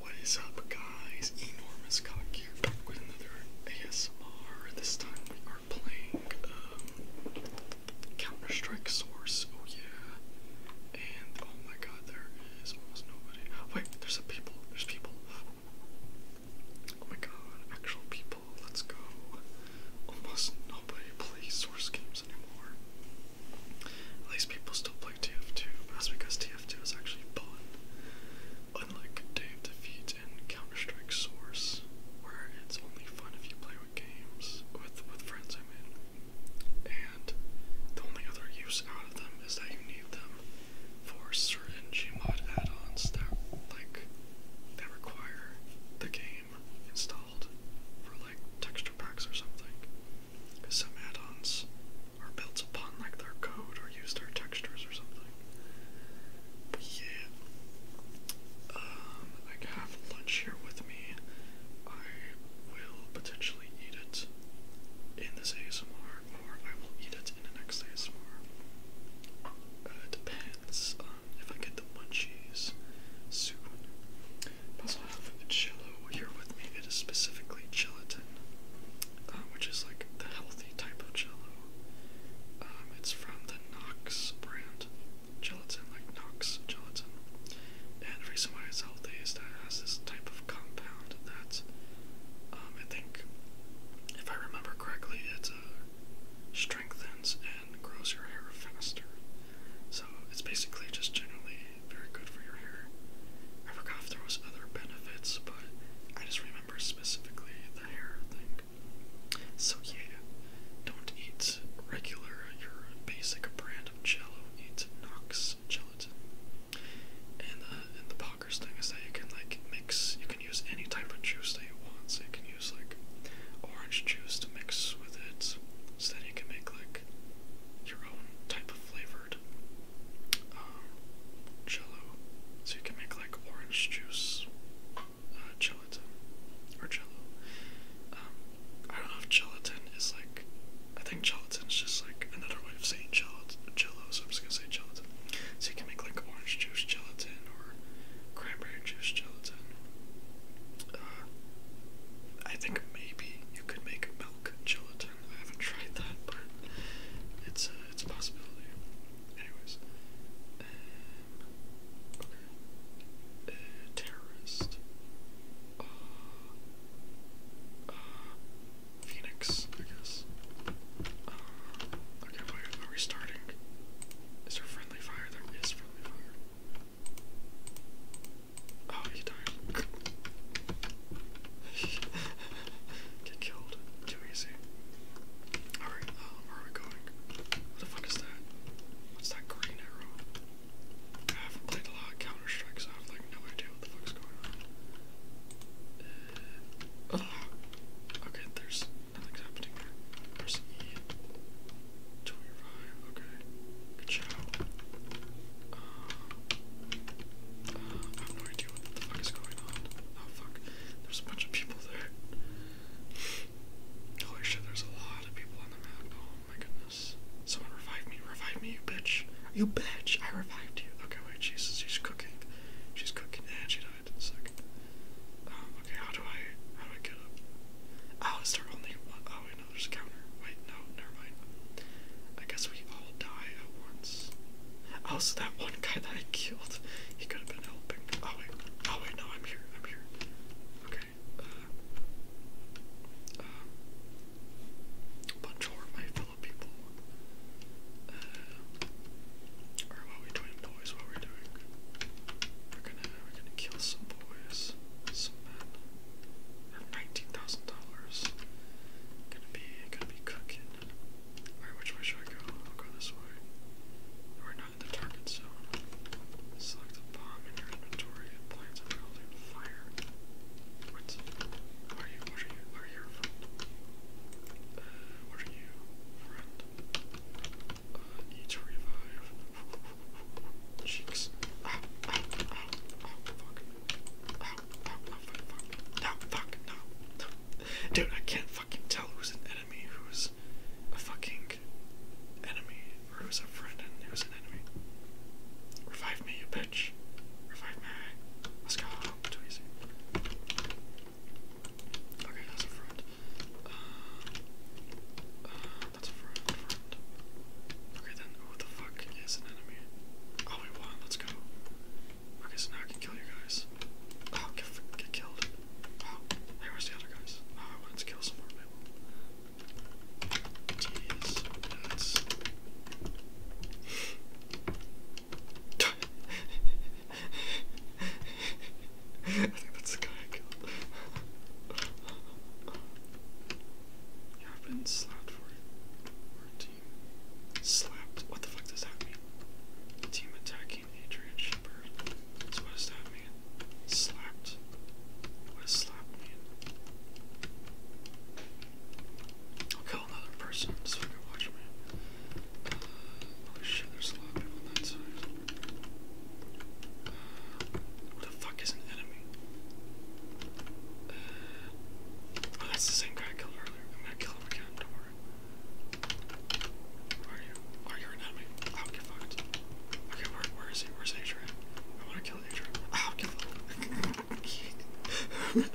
What is up, guys? Enormous Cock here with another ASMR. This time we are playing um, Counter Strike Source. Oh, yeah. And oh my god, there is almost nobody. Wait, there's some people. There's people. Oh my god, actual people. Let's go. Almost nobody plays Source games anymore. At least people still play TF2, but that's because TF2 is actually fun. Unlike Day of Defeat and Counter-Strike Source, where it's only fun if you play with games, with, with friends I mean. And the only other use out of them is that you need them for certain Gmod add-ons that like that require the game installed for like texture packs or something. Because some add-ons are built upon like their code or used their textures or something. yeah. Um, I have lunch here with me. I will potentially eat it in this ASMR, or I will eat it in the next ASMR. Uh, it depends if I get the munchies soon also have Chilo here with me. It is specifically gelatin, uh, which is like the healthy type of Jello. Um, it's from the Knox brand gelatin, like Knox gelatin. And the reason why it's healthy is that it has this type of compound that um, I think, if I remember correctly, it uh, strengthens and grows your hair faster. So it's basically just generally very good for your hair. I forgot if there was other benefits, but I just remember specifically the hair thing. So yeah, don't eat regular, your basic brand of jello, eat Nox gelatin. And, uh, and the Pockers thing is that you can like mix, you can use any type of juice that you want, so you can use like orange juice to mix with it, so then you can make like your own type of flavored jello. Um, so you can make like orange juice uh, gelatin or jello. Um, I don't know if gelatin is like. I think gelatin is just like another way of saying jello. Jello, so I'm just gonna say gelatin. So you can make like orange juice gelatin or cranberry juice gelatin. Uh, I think maybe you could make milk gelatin. I haven't tried that, but it's a, uh, it's a possibility. Anyways, um, uh, terrorist. Uh, uh, Phoenix, I guess. Uh, okay, wait, are we starting? Is there friendly fire? There is friendly fire. Oh, you do Get killed. Too easy. Alright, um, where are we going? What the fuck is that? What's that green arrow? I haven't played a lot of Counter Strike, so I have like no idea what the fuck's going on. Uh, oh. okay, there's nothing's happening here. Press E to revive. Okay, good job. Uh, I have no idea what the fuck is going on. Oh fuck, there's a bunch of people there. Holy shit, there's a lot of people on the map. Oh my goodness. Someone revive me, revive me, you bitch. You bitch, I revived you. Okay, wait, Jesus, she's cooking. She's cooking, and she died. Sick. Um, okay, how do I, how do I get up? Oh, is there only Oh, I counter. Wait, no, never mind. I guess we all die at once. Also, oh, that one guy that I killed, he could have been helping. Oh wait, oh wait, no, I'm here, I'm here. Okay, uh, um, my fellow people. are uh, we doing, boys? What are doing? We're gonna, we're gonna kill some boys, some men nineteen thousand dollars. Gonna be gonna be cooking. which way should I go? I'll go this way. We're not in the target zone. Select a bomb in your inventory and plants a fire. What? What are you? What are you? What are you, uh, need to revive. Cheeks. Ow, ow, ow, ow, fuck. No, fuck, no, Dude, I can't fucking tell who's an enemy, who's a fucking enemy, or who's a friend and who's an enemy. Revive me, you bitch. Revive me. Let's go. Okay, that's a front. Uh, uh, that's a front. Okay then, oh, what the fuck is an enemy? Oh, we won, let's go. Okay, so now I can kill you guys. Oh, get, killed. Oh, where's the other guys? Oh, I wanted kill some more Jeez, that's the guy I killed. You have been slapped for it. Slapped? What the fuck does that mean? team attacking Adrian Shepherd. what does that mean? Slapped. What does slap mean? I'll kill another person so you can watch me. Uh, holy shit, there's a lot of people on that side. Uh, what the fuck is an enemy? Uh, oh, that's the same guy I killed earlier. I'm gonna kill him again, don't worry. are you? Are you an enemy? I don't give Okay, where is he? Where's Adrian? I wanna kill Adrian. I don't give a fuck. oh, he's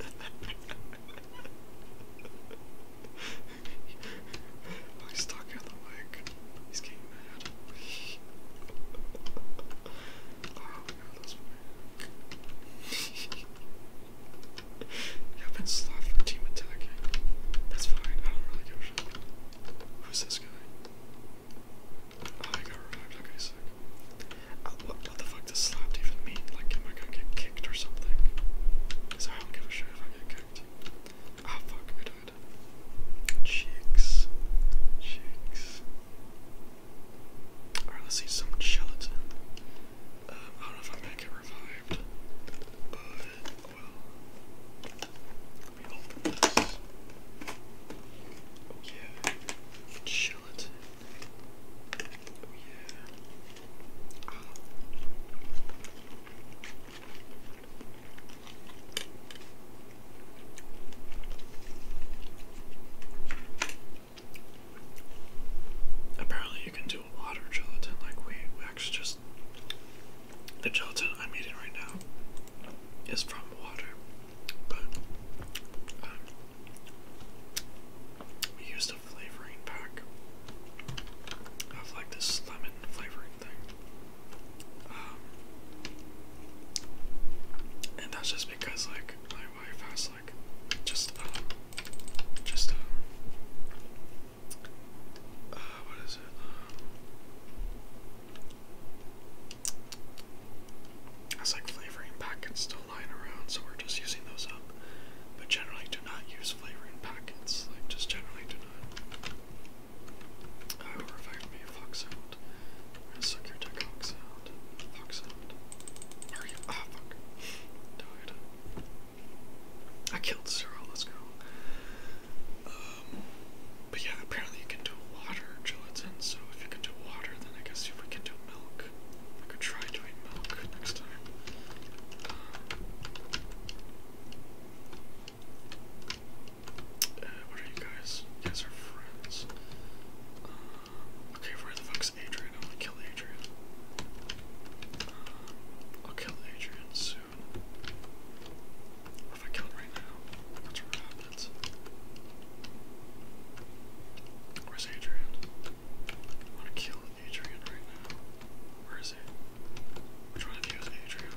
the mic. He's getting mad. know have been slopped for team attacking. That's fine, I don't really give a shit. Who's this guy? Oh, I got revived. Okay, sick. Uh, what, the fuck does slapped even mean? Like, am I gonna get kicked or something? Because I don't give a shit if I get kicked. Ah, fuck, I died. Cheeks. Cheeks. Alright, let's see some gelatin. Um, I don't know if I'm gonna revived, Oh yeah, gelatin. Oh yeah. Apparently, you can do water gelatin like we, we actually just. The gelatin I'm eating right now is from water, but um, we used a flavoring pack of like this lemon flavoring thing. Um, and that's just because like my wife has like just um just um uh, what is it um, has like flavoring packets still lying around so we're just using those up but generally do not use flavoring packets like just generally do not. I uh, or if I a fox out. We're gonna suck your tech hawk sound. Hawk sound. Are you? Ah, fuck. Died. I killed Cyril, let's go. Um, but yeah, apparently you can do water gelatin, so if you can do water, then I guess we can do milk. We could try doing milk next time. Um, what are you guys? You guys are friends. Uh, okay, where the fuck's Adrian? I'm gonna kill Adrian. Uh, I'll kill Adrian soon. What I kill him right now? That's what happens. Where's Adrian? I wanna kill Adrian right now. Where is he? Which one of you is Adrian?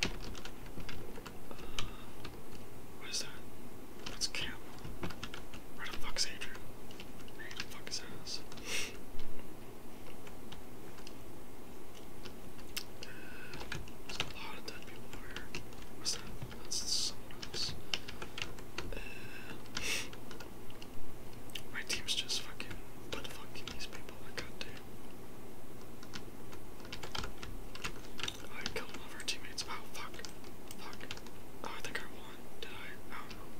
What is that? That's Campbell. Where the fuck's Adrian? Where the fuck is ass? there's a lot of dead people here. What's that? That's someone else. my team's just fucking butt fucking these people. I got I killed one of our teammates. Oh, fuck. Fuck. Oh, I think I won. Did I? I don't know.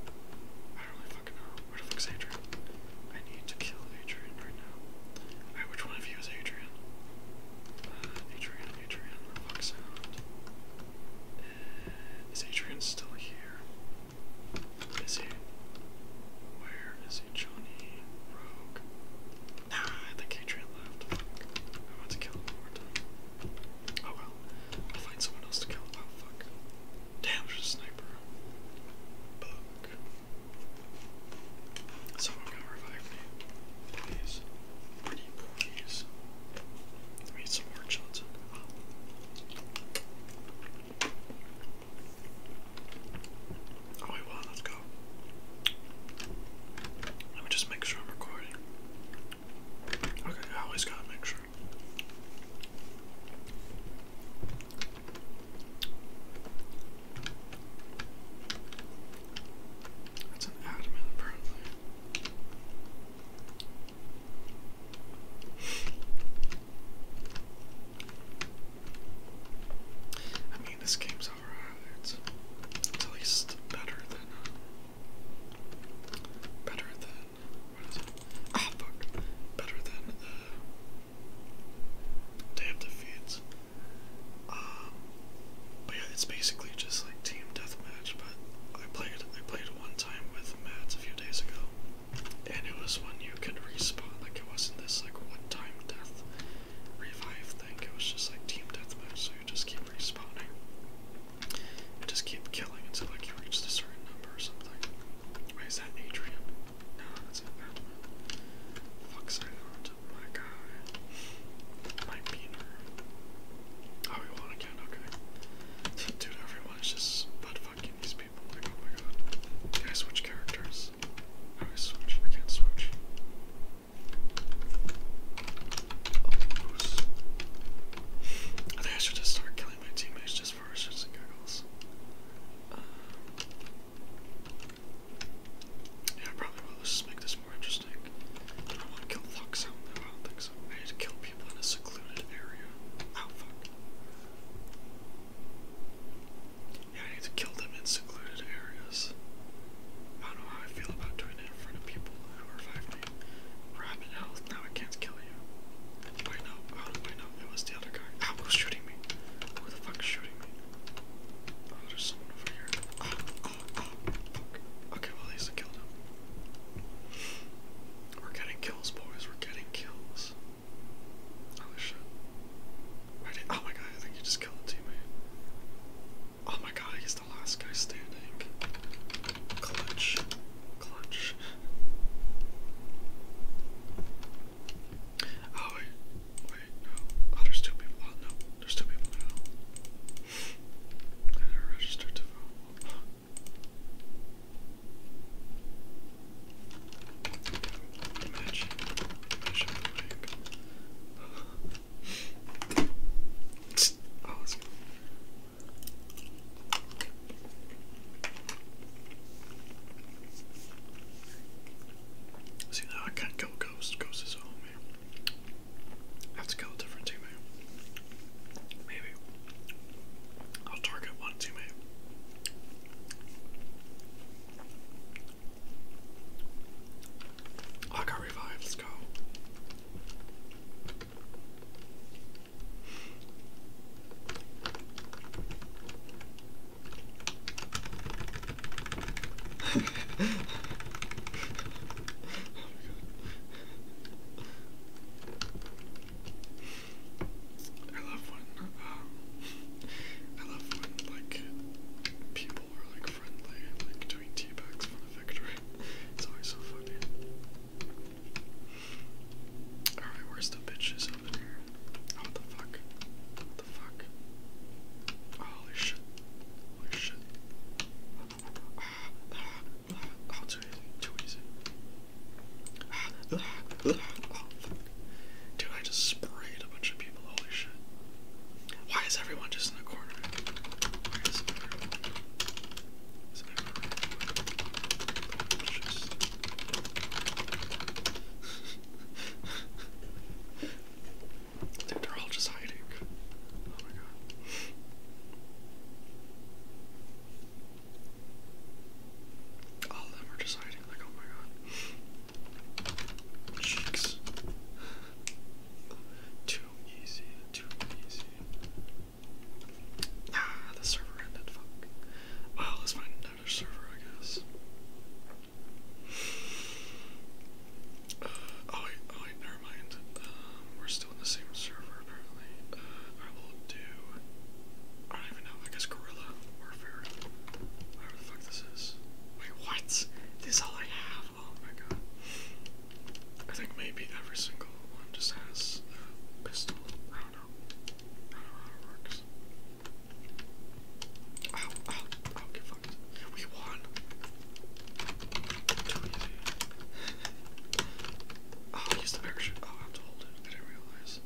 I don't really know. Where Adrian? I need to kill Adrian right now. which one of you is Adrian? Uh, Adrian, Adrian, fuck sound. Uh, is Adrian still here? Is he? Where is he? Johnny Rogue. Nah, I think left. I want to kill him one more time. Oh well. I'll find someone else to kill. Oh fuck. Damn, there's a sniper. Bug. Someone going revive me. Please. Pretty please. Let some more Johnson. Oh, we won. Let's go. Let me just make sure I'm recording. Okay, I always gotta make sure. That's an admin, apparently. I mean, this game's Alright. It's better than better than what is it? Ah fuck. Better than uh Day of Um but yeah, it's basically just like team deathmatch, but I played I played one time with Matt a few days ago. And it was when you could respawn, like it wasn't this like one time death revive thing, it was just like team deathmatch, so just keep respawning. just keep killing until like you reach a certain number or something. Wait, that Adrian? No, that's not that one. Fuck's Island, my guy. My beaner. Oh, we won again, okay. Dude, everyone's just butt fucking these people. Like, oh my god. Can I switch characters? How oh, I switch? I can't switch. I think I should just start killing my teammates just for shits giggles. yeah, I probably will. Let's just make this more interesting. I don't want to kill Fox I don't think so. I need to kill people in a secluded area. Oh, yeah, I need to kill them in secluded areas. I don't know how I feel about doing it in front of people who are five me. health, now I can't kill you. Wait, no, how do I know? was the other guy. Ah, who's shooting me? Who the fuck shooting me? Oh, there's someone over here. Oh, oh, oh, fuck. Okay, well, at least I killed him. We're getting kills, boys. We're getting kills. Holy shit. I did, oh my god, I think you just killed a teammate. Oh my god, he's the last guy standing. Clutch. Clutch. Oh wait. Wait, no. Oh, there's two people. Oh, no, there's two people now. I never registered to vote. Imagine, imagine the link. See now I can't kill Ghost. Ghost is home here. I have to kill a different teammate. Maybe. I'll target one teammate. I got revived, let's go. I love when, um, I love when like, pe people were like friendly and like doing teabags for the victory. It's always so funny. Alright, where's the bitches up here? what the fuck? What the fuck? holy shit. Holy shit. too easy. Too easy. Oh, fuck. Dude, I just sprayed a bunch of people. Holy shit. Why is everyone just in the corner? Dude, they're all just hiding. Oh my god. All of them are just hiding, like, oh my god. Cheeks. Too easy, too easy. Ah, the server ended, fuck. Well, let's find server, I guess. Uh, oh wait, oh wait, never mind. Um, we're still on the same server, apparently. Uh, I will do... I don't even know, I guess Gorilla Warfare. Whatever the fuck this is. Wait, what? This is all I have? Oh my god. I think maybe every single one just has pistol. I don't know. I don't know how it works. Ow, oh, ow, oh, ow, oh, get fucked. We won! oh, I the parachute. Oh, I have to I didn't realize.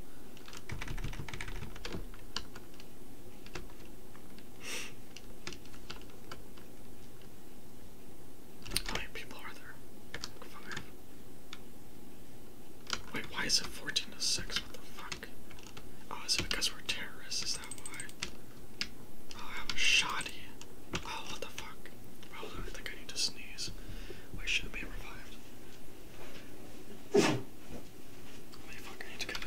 How many people are there? Wait, why is it 14 to 6? What the fuck? Oh, is it because we're terrorists? Is that why? Oh, I am a shoddy. Oh, what the fuck? Hold oh, on, I think I need to sneeze. We should be revived. I need to get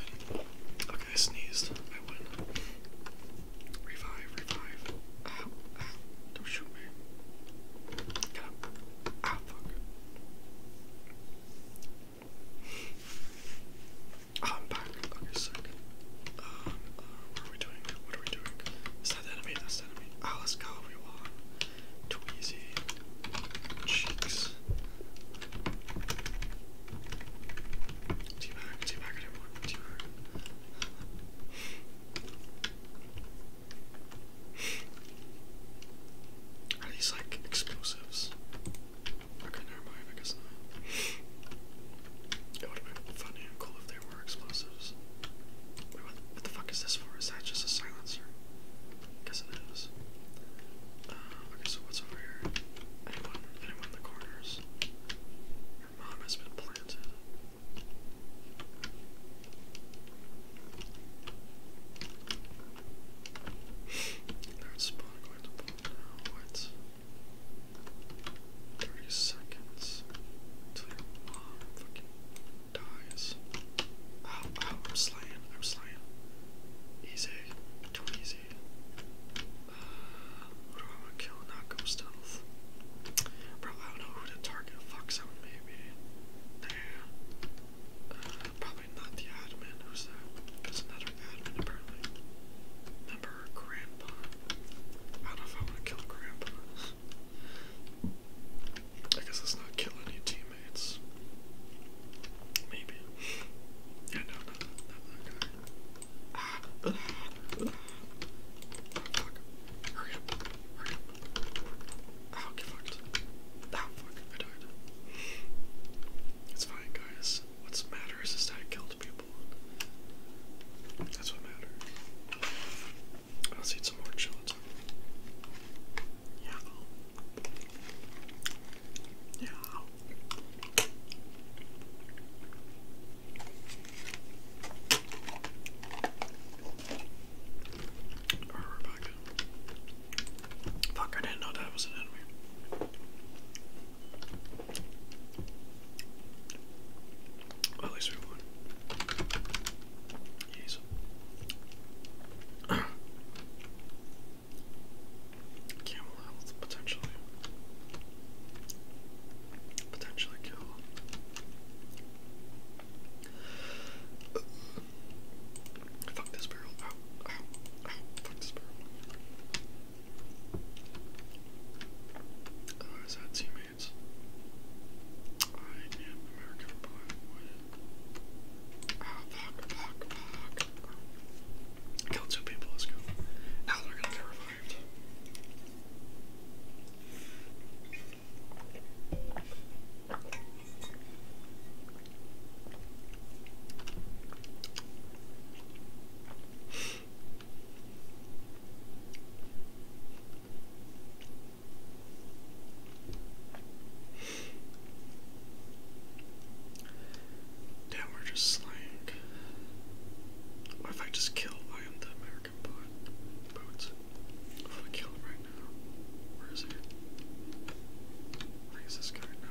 I sneezed. I win. Revive, revive. Don't shoot me. Get up. Ah, fuck. Ah, I'm back. Okay, sick. Um, uh, what are we doing? What are we doing? Is that the enemy? That's the enemy. Ah, oh, let's go, everyone. Cheeks. Are these like explosives? Okay, never mind, I guess not. It would have been funny cool if they were explosives. what, the fuck is this for? Is that just a silencer? Guess it is. Uh, Okay, so what's over here? Anyone? Anyone in the corners? Your mom has been planted. Third spot going to pull now. What? Thirty seconds until your mom fucking dies. Ow, ow, I'm slaying, I'm slaying. Easy, too easy. Who do I want to kill not go stealth? Probably I don't know who to target a fox maybe. Damn. Uh, probably not the admin. Who's that? There's another admin apparently. Remember Grandpa? I don't know if I want to kill Grandpa. I guess let's not kill any teammates. Maybe. Yeah, no, no, no, no, Ah, ah, Oh, fuck. fucked. Ah, fuck. I died. It's fine, guys. What's matters is that I killed people. That's what matters. Let's eat some more gelatin. Yeah, yeah. Fuck, I didn't know that was an enemy. at least we won. Jeez. Camel health potentially. Potentially kill. Fuck this barrel. Ow, ow, ow. Fuck this barrel. Oh, is that teammates? I am American boy. Ah, Kill two people, let's go. Now they're gonna get revived. Damn, we're just slaying. What if I just kill I American bot if I kill him right now? Where is he? I this guy. No,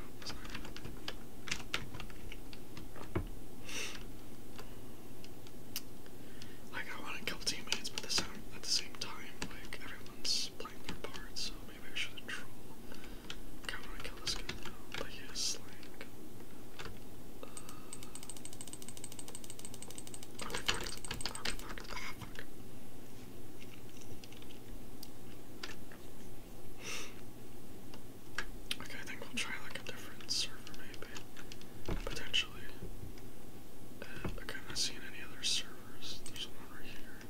Like I want to kill teammates, but at the same time, like everyone's playing their part, so maybe I should troll. I want to kill this guy okay, I think we'll try like a different server maybe. Potentially. Uh, I'm not seeing any other servers. There's one right here.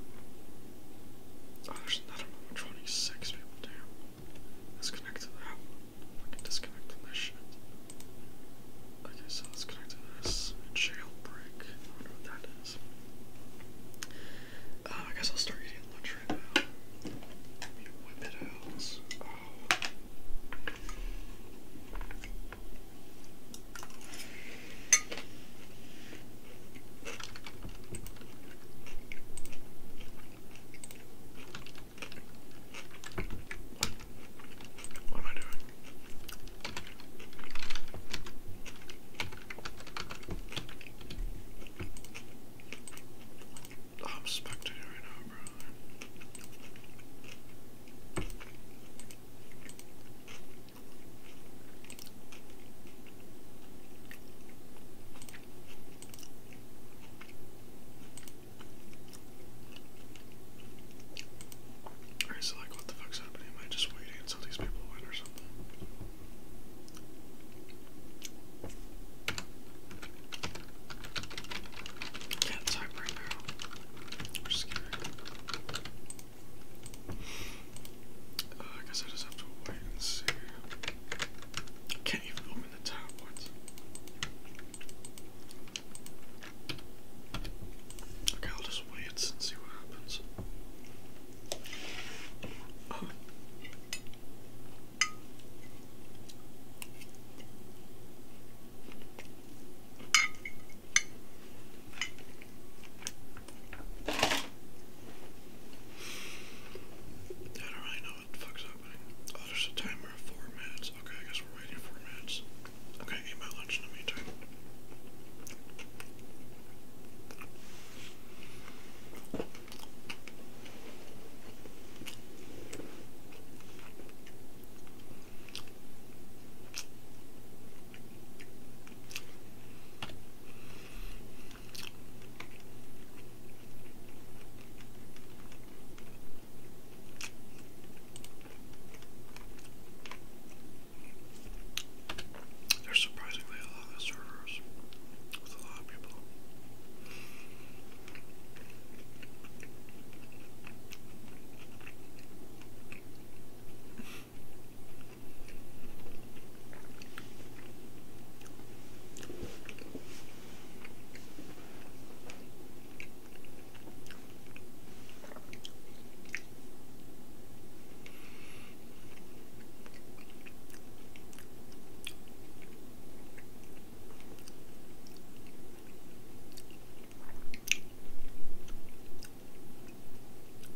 Oh, there's another one 26 people, damn. Let's connect to that one. I disconnect this shit. Okay, so let's connect to this. Jailbreak. I wonder what that is. Uh, I guess I'll start eating the right now. whip it out. Oh. What am I doing? Oh, I'm spectating right now, bro. Alright, so like what the fuck's happening? Am I just waiting until these people win or something? Can't type right now. We're scared. Uh, I guess I just have to wait and see. can't even open the tab. What? Okay, I'll just wait and see what happens. I don't really know what the fuck's happening. Oh, there's a timer four minutes. Okay, I guess we're waiting for minutes. Okay, eat my lunch in the meantime. There's surprisingly a lot of servers with a lot of people.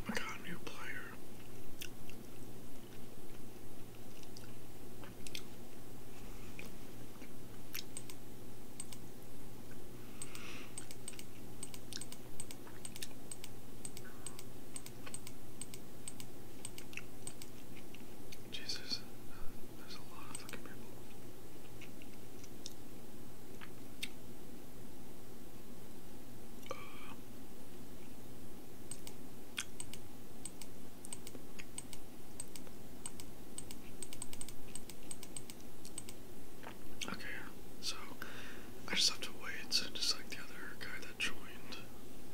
I got a new player. Jeez, there's, there's a lot of fucking people okay, so I just have to wait, just like the other guy that joined,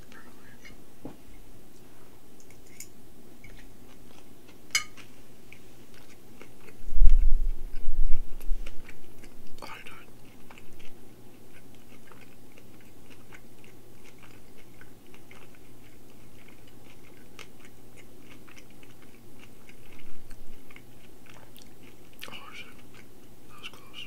apparently. Oh, I Oh shit, that was close.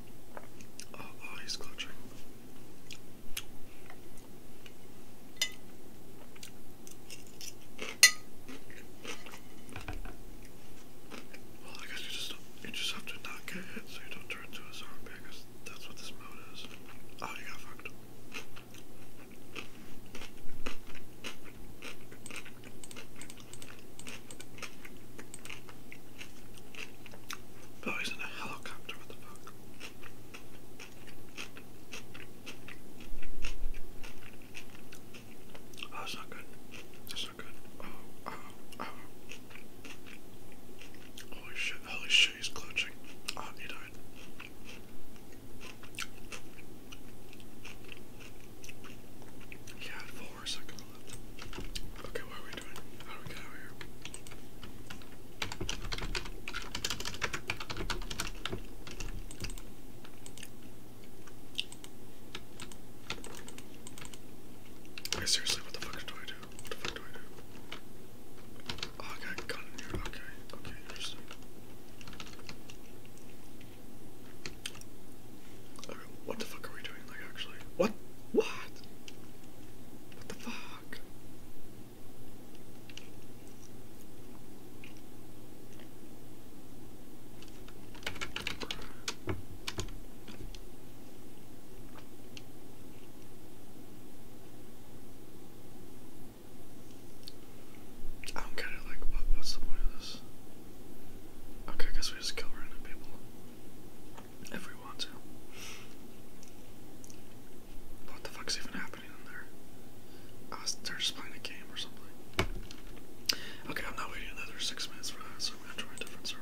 Oh, oh, he's clutching. Well, I guess you just you just have to not get hit so you don't turn into a zombie. I that's what this mode is. Oh, you got fucked. Oh, he's in a helicopter, what the fuck? Oh, that's not good. That's not good. Oh, oh, oh. Holy shit, holy shit, he's clutching. Oh, he died. He Okay, what are we doing? How do we get out of here? Okay, seriously, what the fuck do I do? What the fuck do I do? Oh, I gun in here. Okay, okay, what the fuck are we doing? Like, actually, what? What? What the fuck? I don't get like, what, what's the point of this? Okay, I guess we just kill random people. If we want to. What the fuck's even happening in there? Oh, they're just playing a game or something. Okay, I'm not waiting another six minutes for that, so I'm gonna try a different server.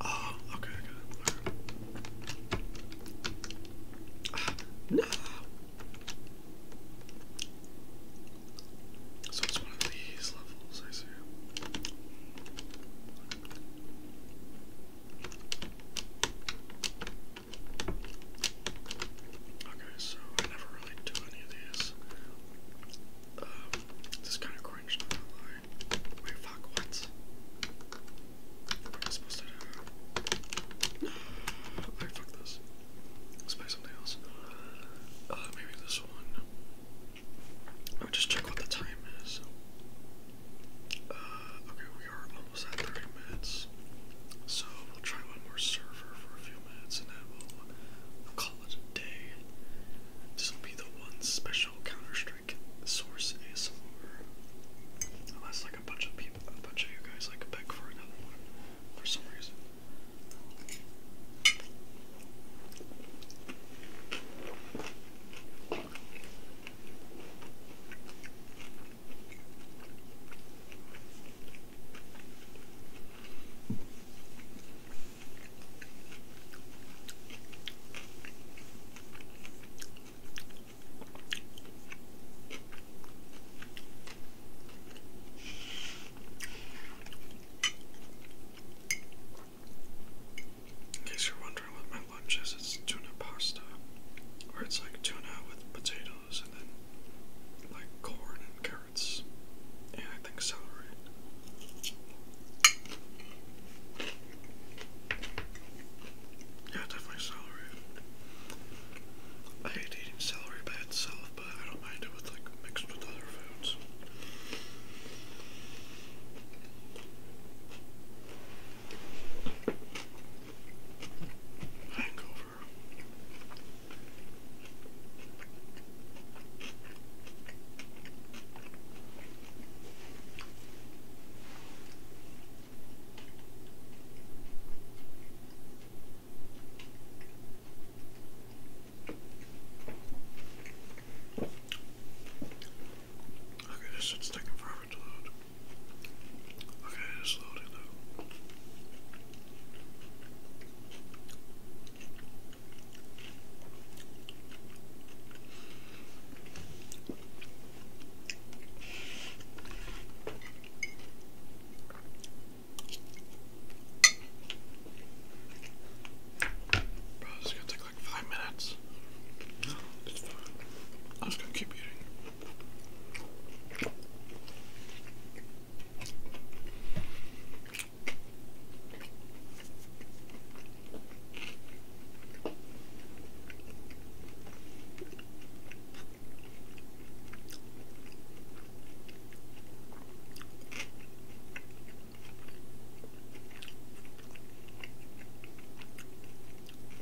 Oh, okay, I got it. Ah, no. So it's one of these levels, I see. Okay, so I never really do any of these. Um, this is kind of cringe, to lie. Wait, fuck, what? What am I supposed to do? Alright, fuck this. Let's play something else. Uh, maybe this one. I'll just check what the time is. Uh, okay, we are almost at 30 minutes. So we'll try one more server for a few minutes and then we'll, call it a day. This will be the one special Counter Strike source Is Unless like a bunch of people, a bunch of you guys like beg for another one for some reason. In case you're wondering, pattern with my lunches is tuna pasta, where it's like tuna with potatoes and then like corn and carrots, and I think celery. Yeah, definitely celery. I hate eating celery by itself, but I don't mind it with like mixed with other foods. Hangover. Okay, this shit's taking forever to load. Okay, it's loading now. Bro, this gonna take like five minutes. I'm just gonna keep eating.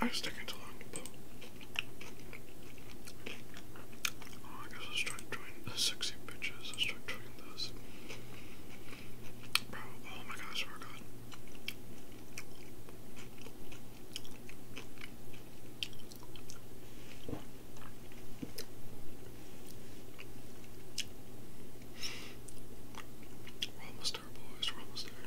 I am sticking to poo. Oh, I guess let's try doing the sexy bitches. Let's try doing those. oh my gosh, We're almost there, boys. We're almost there.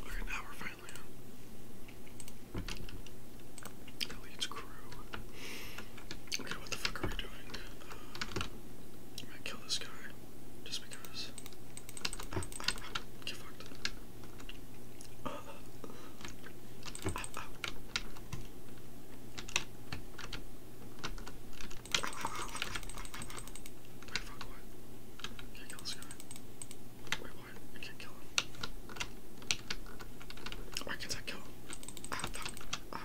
Okay, now we're finally on. Elliot's crew. Okay, what the fuck are we doing? Uh, I might kill this guy just because. get fucked. Wait, fuck, what? I can't kill this guy. Wait, what? I can't kill him. Why can't I kill him? Ah, fuck. Ah.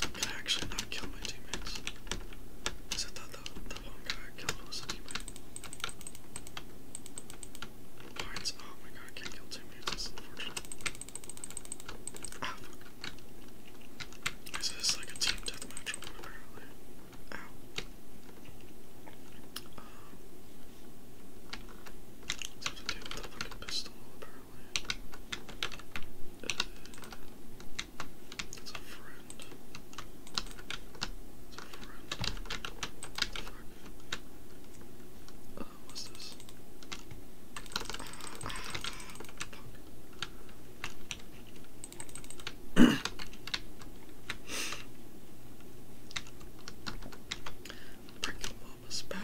Can I actually not kill my teammates? Because I thought the, the one guy I killed was a teammate. oh my god, can't kill teammates, that's Ah, fuck. Is like a team deathmatch or Ow. Um, let's to deal with the fucking pistol, uh, it's a friend. It's a friend. What the fuck? Uh, what's this? Ah, fuck. almost back.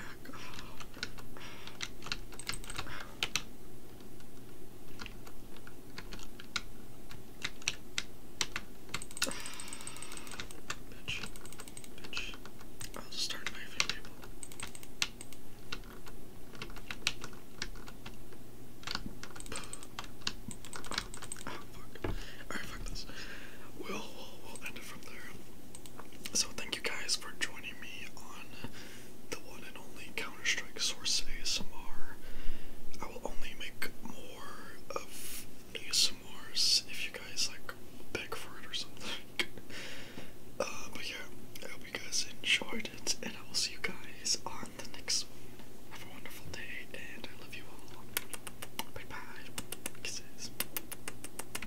Bitch. Bitch. I'll start knifing people. Oh, fuck. Alright, fuck this. we'll, we'll end it from there. So, thank thank you guys for joining me on the one and only Counter-Strike Source ASMR. I will only make more of ASMRs if you guys like beg for it or something. uh, but yeah, I hope you guys enjoyed it, and I will see you guys on the next one. Have a wonderful day, and I love you all. Bye bye. Kisses.